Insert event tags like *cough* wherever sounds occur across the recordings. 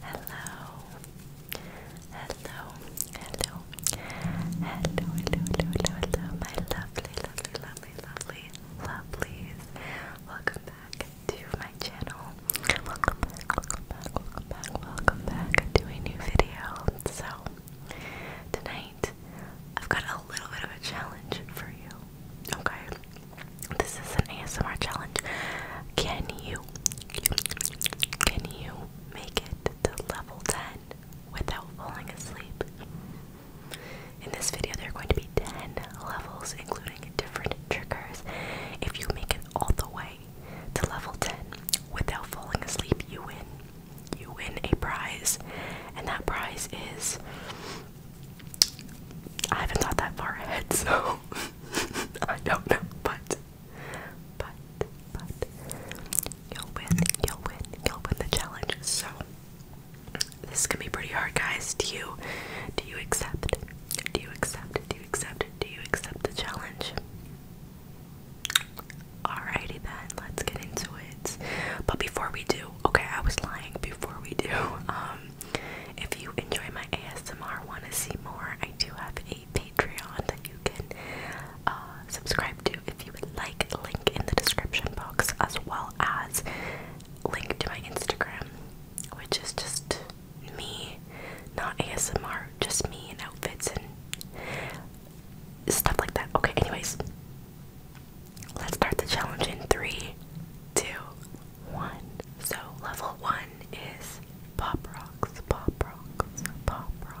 Hello. Hello. Hello. Hello. Hello. Hello. Hello. My lovely, lovely, lovely, lovely, lovelies. Welcome back to my channel. Welcome back. Welcome back. Welcome back. Welcome back to a new video. So tonight I've got a little bit of a challenge for you. Okay, this is an ASMR challenge. Can you, can you make it to level 10 without falling asleep? In this video, there are going to be 10 levels, including different triggers. If you make it all the way to level 10 without falling asleep, you win. You win a prize, and that prize is I haven't thought that far ahead, *laughs* so I don't know. But, but, but, you'll win, you'll win, you'll win the challenge. So, this is be pretty hard, guys. Do you, do you accept? Do you accept? Do you accept? Do you accept the challenge? Alrighty then, let's get into it. But before we do, okay, I was lying. Before we do, um, if you enjoy my ASMR, want to see more, I do have a Patreon that you can uh, subscribe to if you would like. Link in the description box, as well as link to my Instagram, which is just me, not ASMR, just me and outfits and stuff like that. Okay, anyways, Let's start the challenge in three, two, one. So, level one is pop rocks, pop rocks, pop rocks.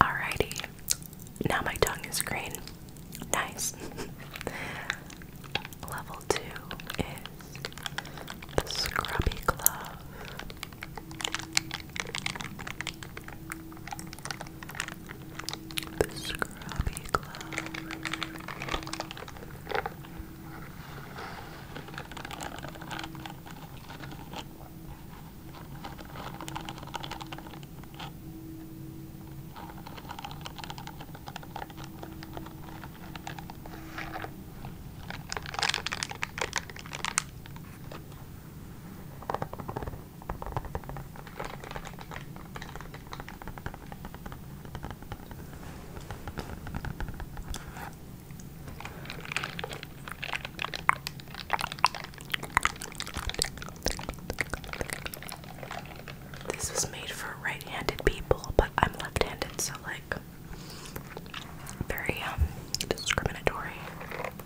Alrighty, now my tongue is green. Nice. *laughs* Level two is the scrubby glove. The scrubby glove. This was made for right-handed people, but I'm left-handed, so like very um discriminatory.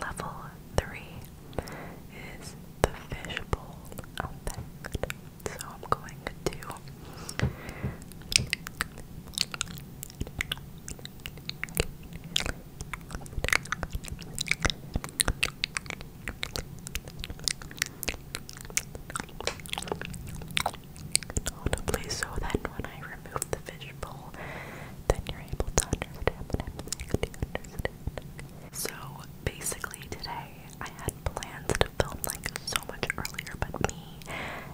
Level three is the fishbowl oh, effect. So I'm going to audibly so that when I remove the fishbowl, then you're able to understand So basically today I had plans to film like so much earlier, but me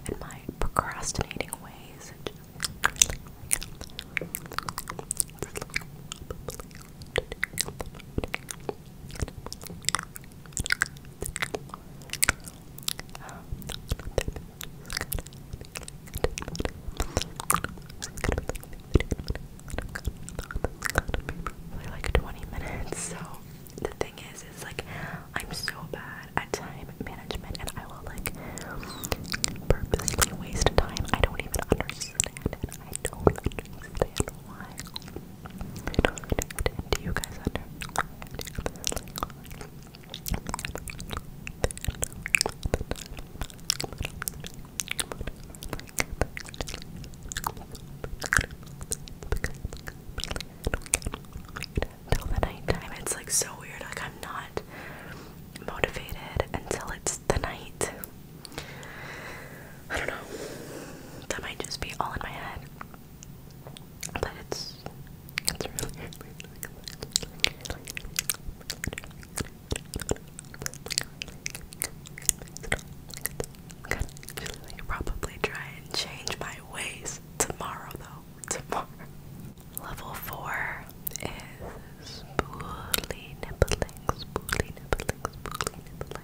and my procrastinating ways Probably like 20 minutes. So the thing is, is like I'm so bad at time management, and I will like purposely waste time. I don't even understand it. I don't understand why until the nighttime, it's like so weird. Like I'm not motivated until it's the night. I don't know. That might just be all in my head. But it's it's really probably try and change my ways tomorrow though. Tomorrow. Level four is spoolie nibbling, spoolie nibbling, spoolie nibbling.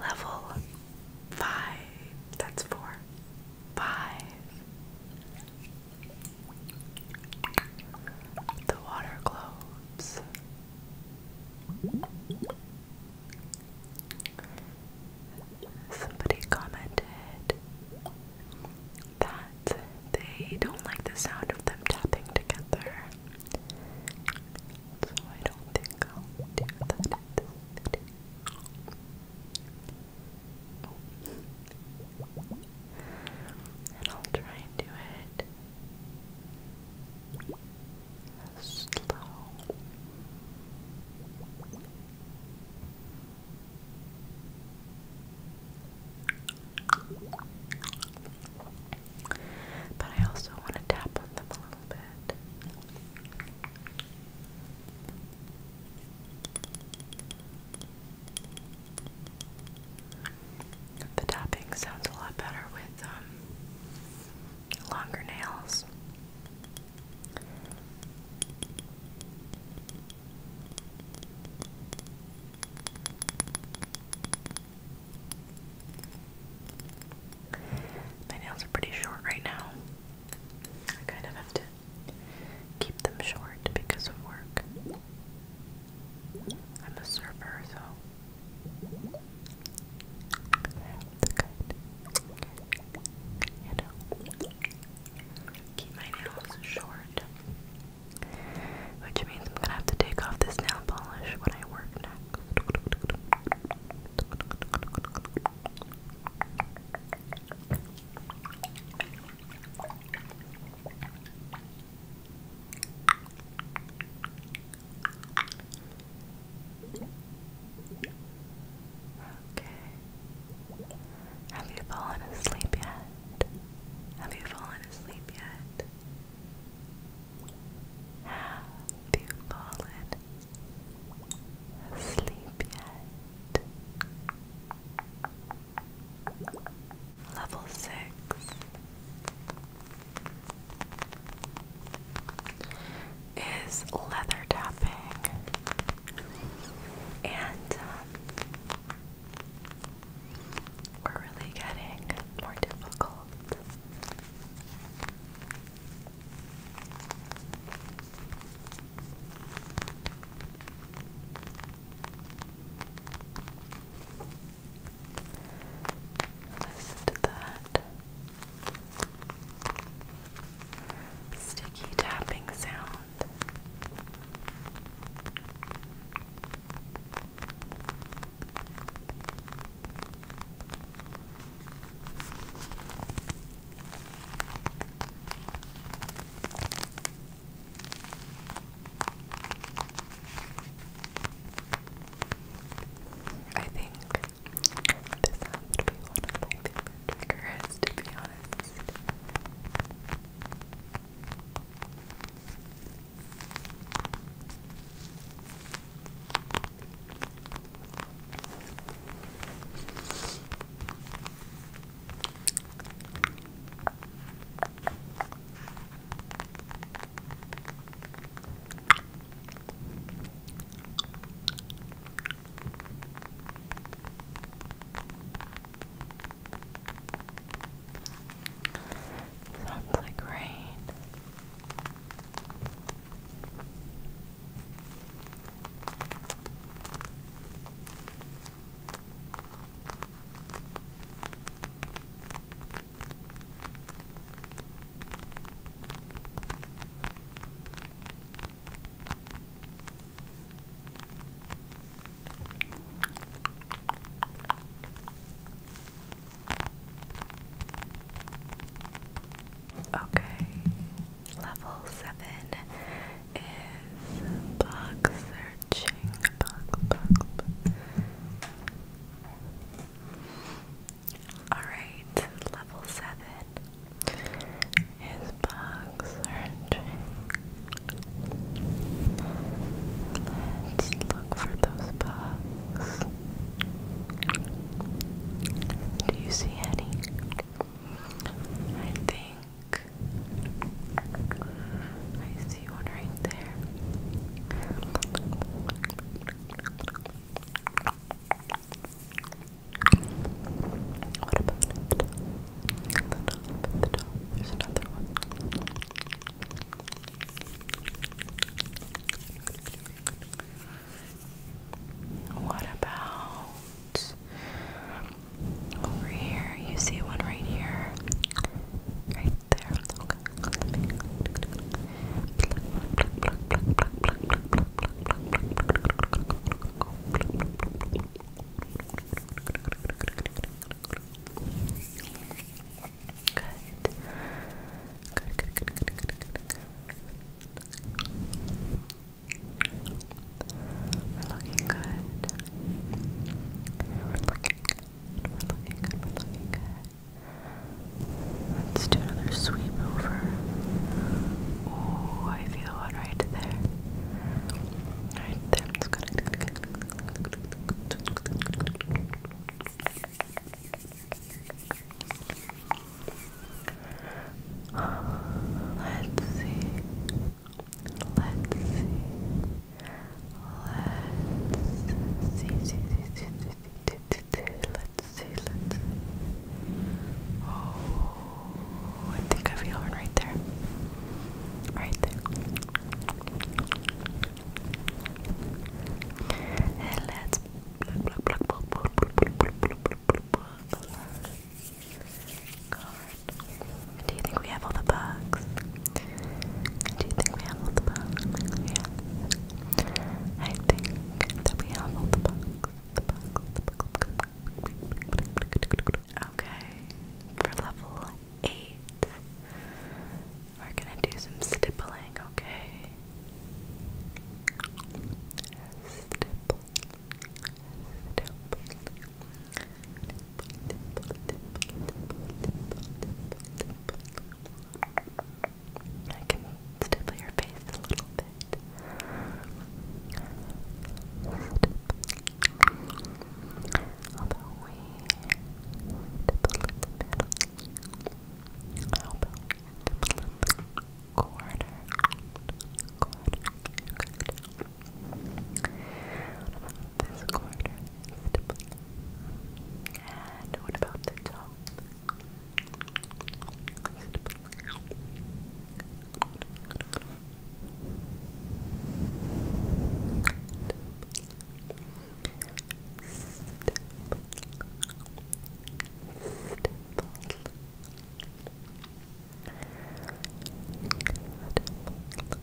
Level five, that's four, five. The water globes. Somebody commented that they don't like the sound of them tapping together. So I don't think I'll do that Oh. And I'll try and do it slow. But I also want to tap on them a little bit. The tapping sounds a lot better with um, longer nails. My nails are pretty short right now. I kind of have to Keep them short because of work. I'm a server, so. Keep my nails short. Which means I'm gonna have to take off this nail polish when I work Okay. Have you fallen asleep yet? Have you fallen asleep yet? Have you fallen asleep yet? Level six. Is leather tapping, and um, we're really getting more difficult. Listen to that sticky tapping sound. I think this has to be one of my favorite to be honest. Sounds like rain. Okay, level seven is boxer searching Alright, level 7 is bug searching. Let's look for those bugs. Do you see any? I think I see one right there. What about it? At the top, at the top, there's another one. What about over here. You see one right here, right there. Good. Good. Good. Good. Good. looking good. Let's do another sweep over. Ooh, I feel one right there. Right there, I'm just *sighs* Let's see. Let's see. Let's see. see, see, see, see, see, see. Let's see. Let's Oh, I think I feel it right there. Right there. And let's. Do you think we have all the bugs? Do you think we have all the bugs? Yeah. I think that we have all the bugs. Okay. For level eight, we're gonna do some stippling, okay? Stipple. Stipple. I can stipple your face a little bit. Although we stipple in the middle. How about we stipple in the corner? Corner. Good. This corner And what about the top?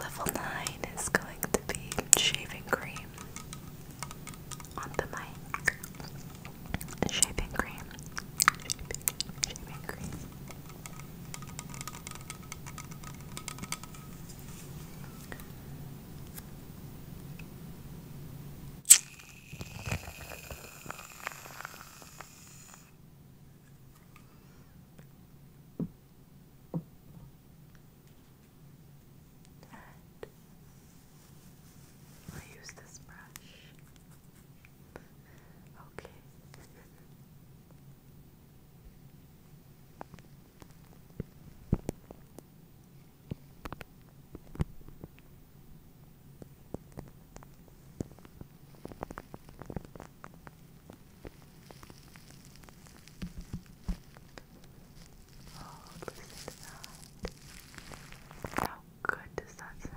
Level 9 is going to be shaving cream on the mic. Shaving cream. I use this brush. Okay. Oh, listen to that. How good does that sound?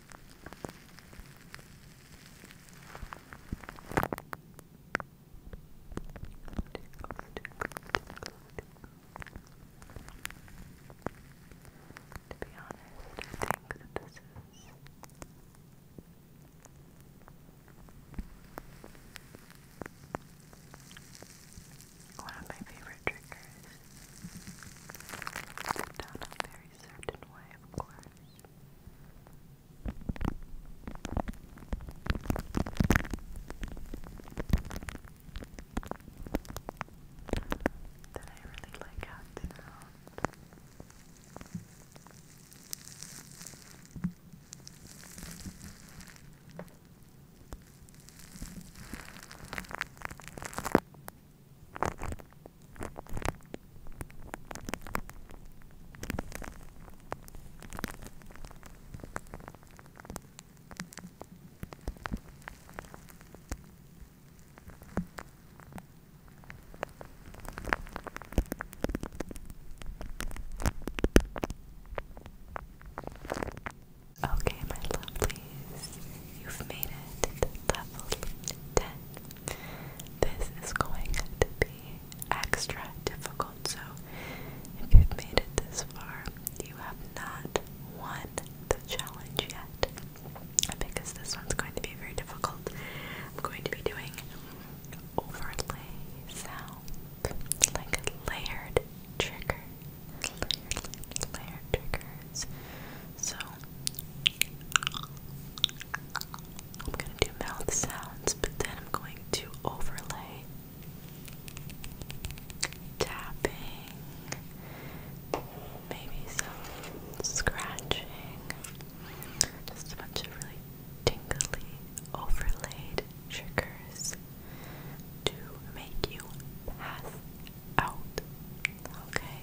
To be honest, I think that this is one of my favorite triggers a certain way, of course. Then I really like how Okay, my lovelies, You've made it This is going to be extra difficult, so if you've made it this far, you have not won the challenge yet. Because this one's going to be very difficult. I'm going to be doing overlay sound, like layered trigger, layered triggers. So I'm going to do mouth sounds, but then I'm going to overlay tapping, maybe some scratching, just a bunch of really tingly overlaid triggers to make you pass out. Okay.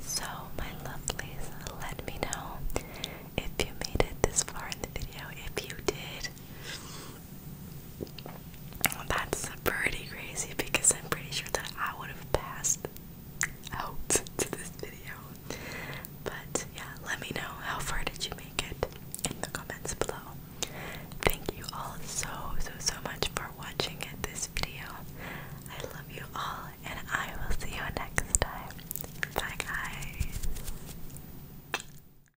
So, my lovelies, let me know if you made it this far in the video. If you did, that's pretty crazy because I'm pretty sure that I would have passed out *laughs* to this video. But yeah, let me know how far did you make it in the comments below. Thank you all so, so, so much for watching this video. I love you all, and I will see you next time. Bye, guys.